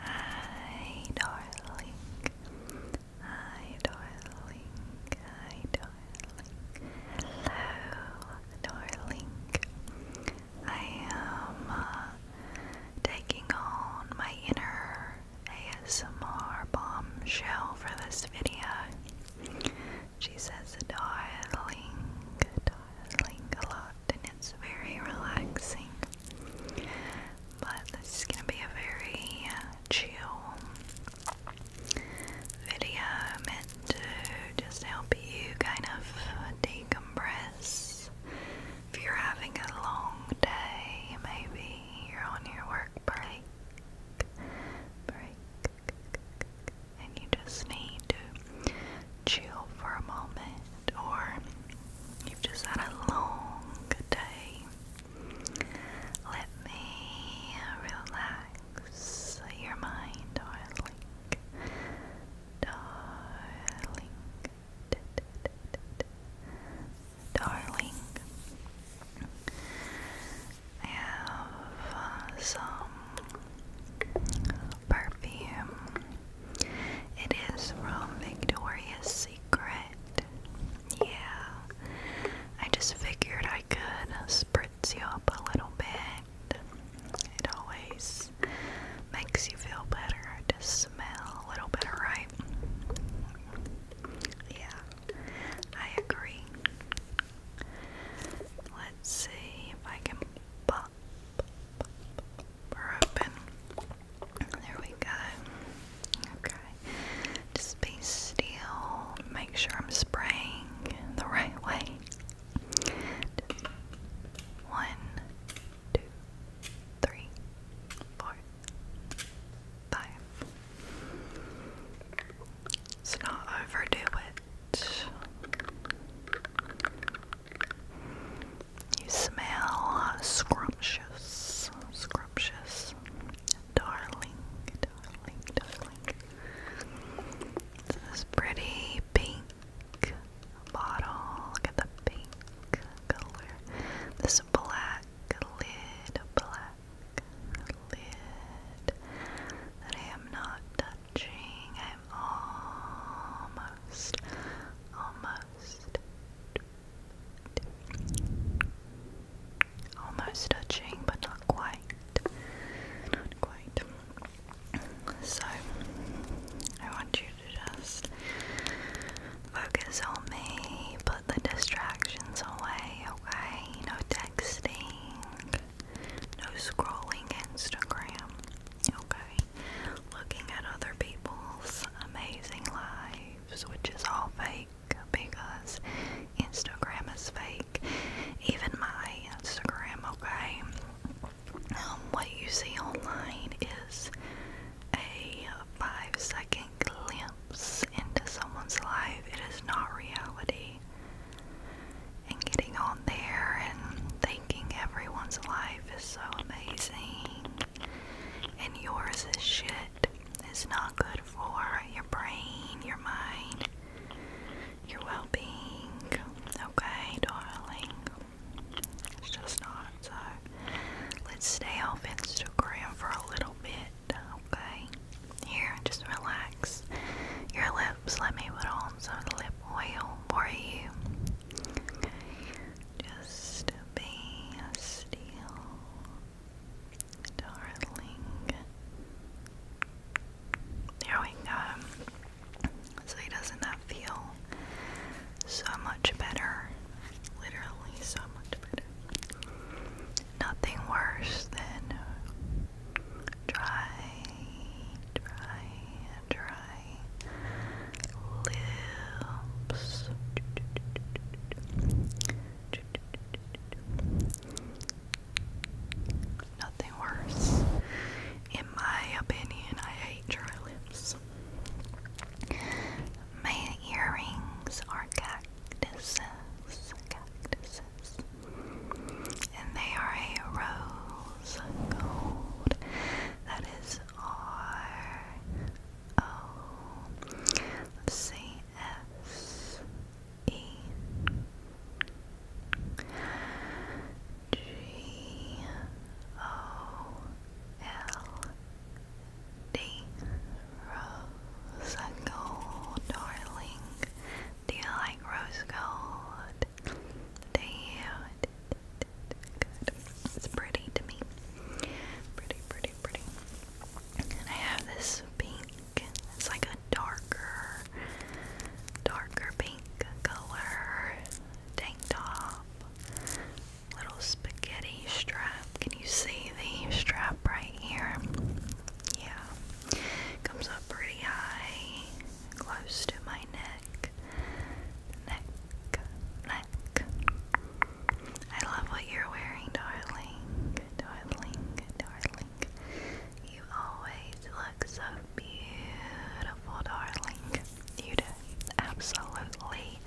Hi, darling. Hi, darling. Hi, darling. Hello, darling. I am uh, taking on my inner ASMR bombshell for this video. She says darling, darling a lot, and it's very relaxing. But this is gonna be a very uh, chill video meant to just help you kind of decompress. If you're having a long day, maybe you're on your work break, break, and you just need to chill for a moment, or you've just had a long day. Let me relax your mind, darling. Darling. darling. I have some perfume. It is from Victoria's Secret. Yeah. I just figured I could spritz you up a little bit. It always makes you feel better to smell a little better, right? Yeah, I agree. Let's see if I can pop her open. There we go. Okay. Just be still. Make sure I'm spraying the right way. one, two, three, four, five. Let's not overdo it. You smell scrumptious, scrumptious, darling, darling, darling. this pretty pink bottle. Look at the pink color. This black lid, black lid that I am not touching. I'm almost, almost, almost touching, but not quite. Not quite. So, I want you to just focus on me, put the distractions away, okay? No texting, no scrolling Instagram. Okay. Looking at other people's amazing lives, which is all fake because Instagram is fake. Even my Instagram, okay? Um, what you see online is a five second glimpse into someone's life. It is not reality and getting on there and thinking everyone's life is so amazing and yours is shit. It's not good for your brain, your mind, your well being. Okay, darling. It's just not. So let's stay off Instagram for a little bit okay? Here, just relax your lips. Let me put on some lip oil for you. just be still, darling. There we go. So doesn't that feel so much better? Literally so much better nothing worse than dry, dry, dry lips. Nothing worse. In my opinion, I hate dry lips. My earrings are cat cactuses, cactuses, and they are a rose gold. That is R O C S E G O L D Rose gold, darling. Do you like rose gold? Do you? It's pretty to me. Pretty, pretty, pretty. And I have this pink. It's like a darker, darker pink color tank top. Little spaghetti strap. Can you see the strap right here? yeah, comes up pretty high, close to my neck, neck, neck. I love what you're wearing, darling, darling, darling. You always look so beautiful, darling. You do absolutely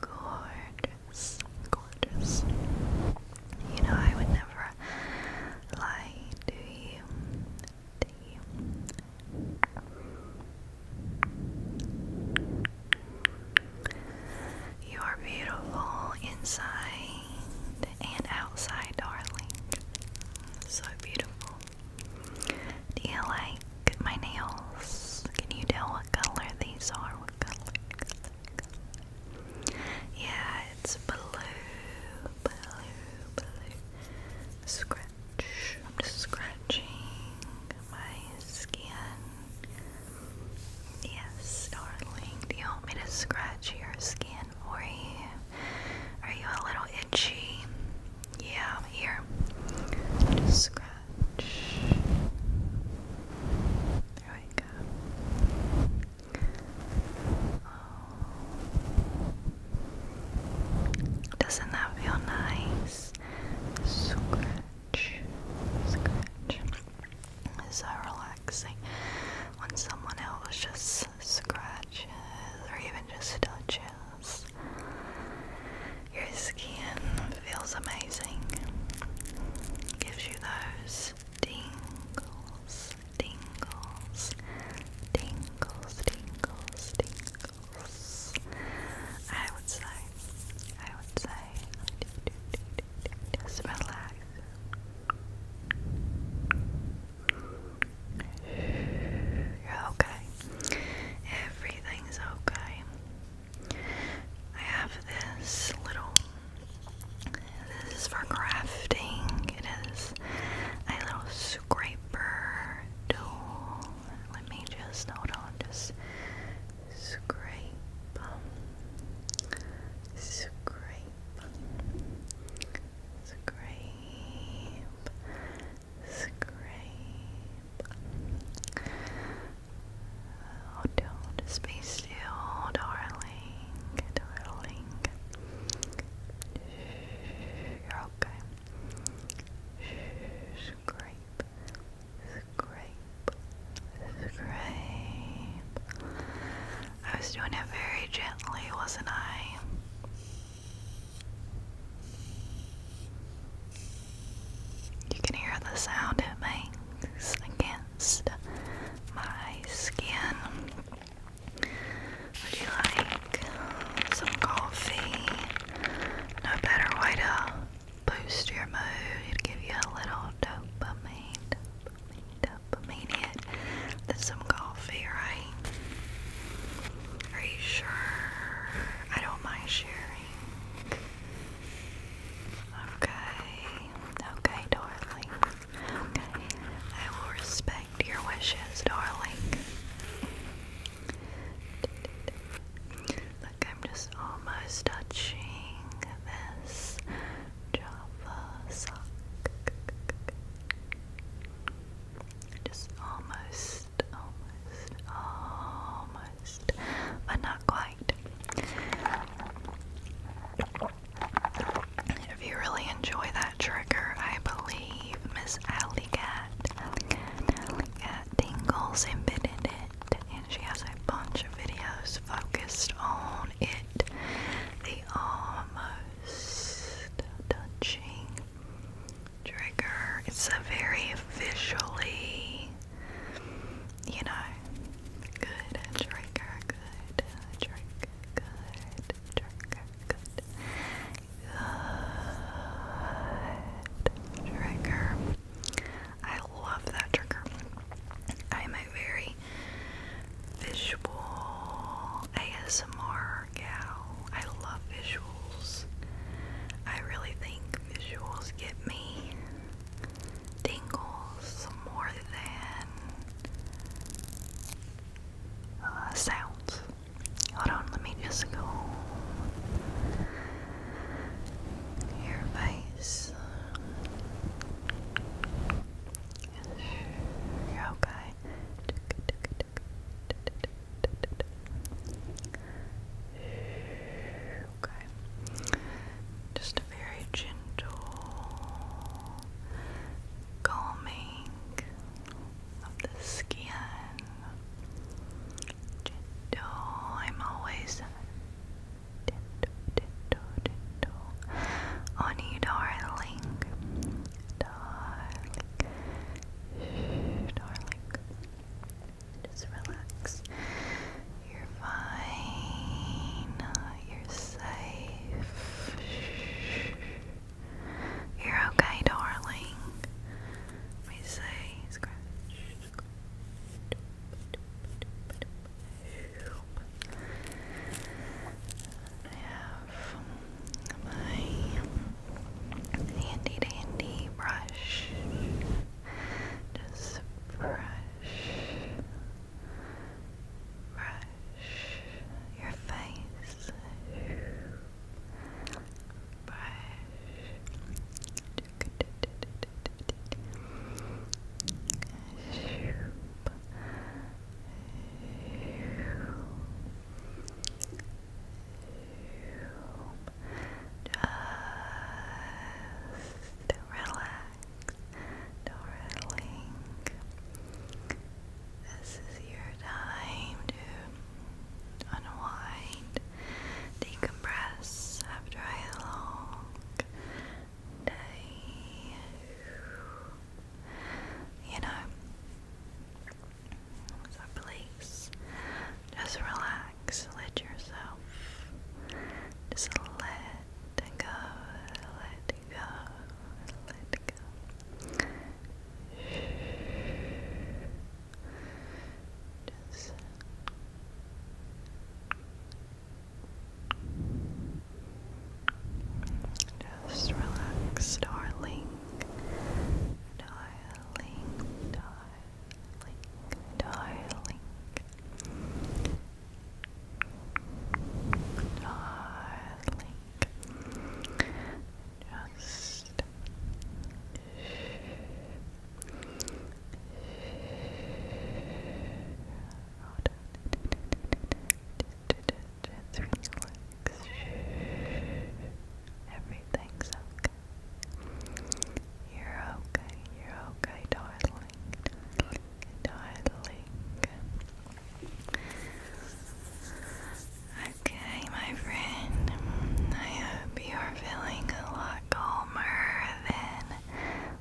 gorgeous, gorgeous. You know, I would never lie to you. To you. You are beautiful inside and outside, darling. So beautiful. Do you like my nails? Can you tell what color these are? What yeah, it's blue, blue, blue. Scratch. I'm just scratching my skin. Yes, darling. Do you want me to scratch your skin Are you a little itchy? Yeah, here. scratch. Oh. Doesn't that feel nice? Scratch, scratch. So relaxing when someone else just scratches or even just touches. Your skin feels amazing. Gives you those tingles, tingles, tingles, tingles, tingles. I would say, I would say, just relax. You're okay. Everything's okay. I have this little this is for crafting. It is a little scraper tool. Let me just hold on, just scrape, scrape, scrape, scrape. Oh, don't be still, darling, darling. you're okay. Shh, scrape, scrape, I was doing it very gently, wasn't I? You can hear the sound it makes against my skin. Would you like some coffee? No better way to boost your mood, give you a little dopamine, than some coffee, right? Are you sure? I don't mind sharing. Okay, okay, darling. I will respect your wishes, darling. Look, I'm just almost touching this Java sock. Just almost, almost, but not quite. If you really enjoy that trigger, I believe Miss Alley Cat, Alley embedded it, and she has a bunch of videos focused on it. The almost touching trigger. It's a very visually, you know, good trigger, good trigger, good trigger, good, good trigger. I love that trigger. I'm a very visual ASMR gal. I love visuals. I really think visuals get me tingles more than uh, sounds. Hold on, let me just go your face. You're okay. Okay. Just a very gentle calming of the skin. Gentle. I'm always gentle, on you, darling. Darling. Darling. Just relax. You're fine. You're safe. You're okay, darling. Let me say I have my handy dandy brush. Just brush, brush your face. Brush. Shoop. Shoop. Just relax, darling. This is your time to unwind, decompress after a long day. You know, so please just relax, let yourself just let go, let go, let go. Just just relax, darling darling, darling, darling, darling. Just Hold just relax. Everything's okay. You're okay. You're okay, darling. Darling. Okay, my friend. I hope you're feeling a lot calmer than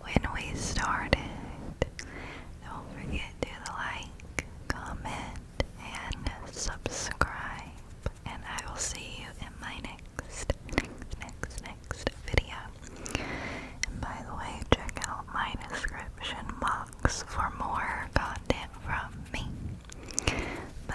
when we started. Don't forget to like, comment, and subscribe. And I will see you in my next, next, next, next video. And by the way, check out my description box for more content from me. Bye.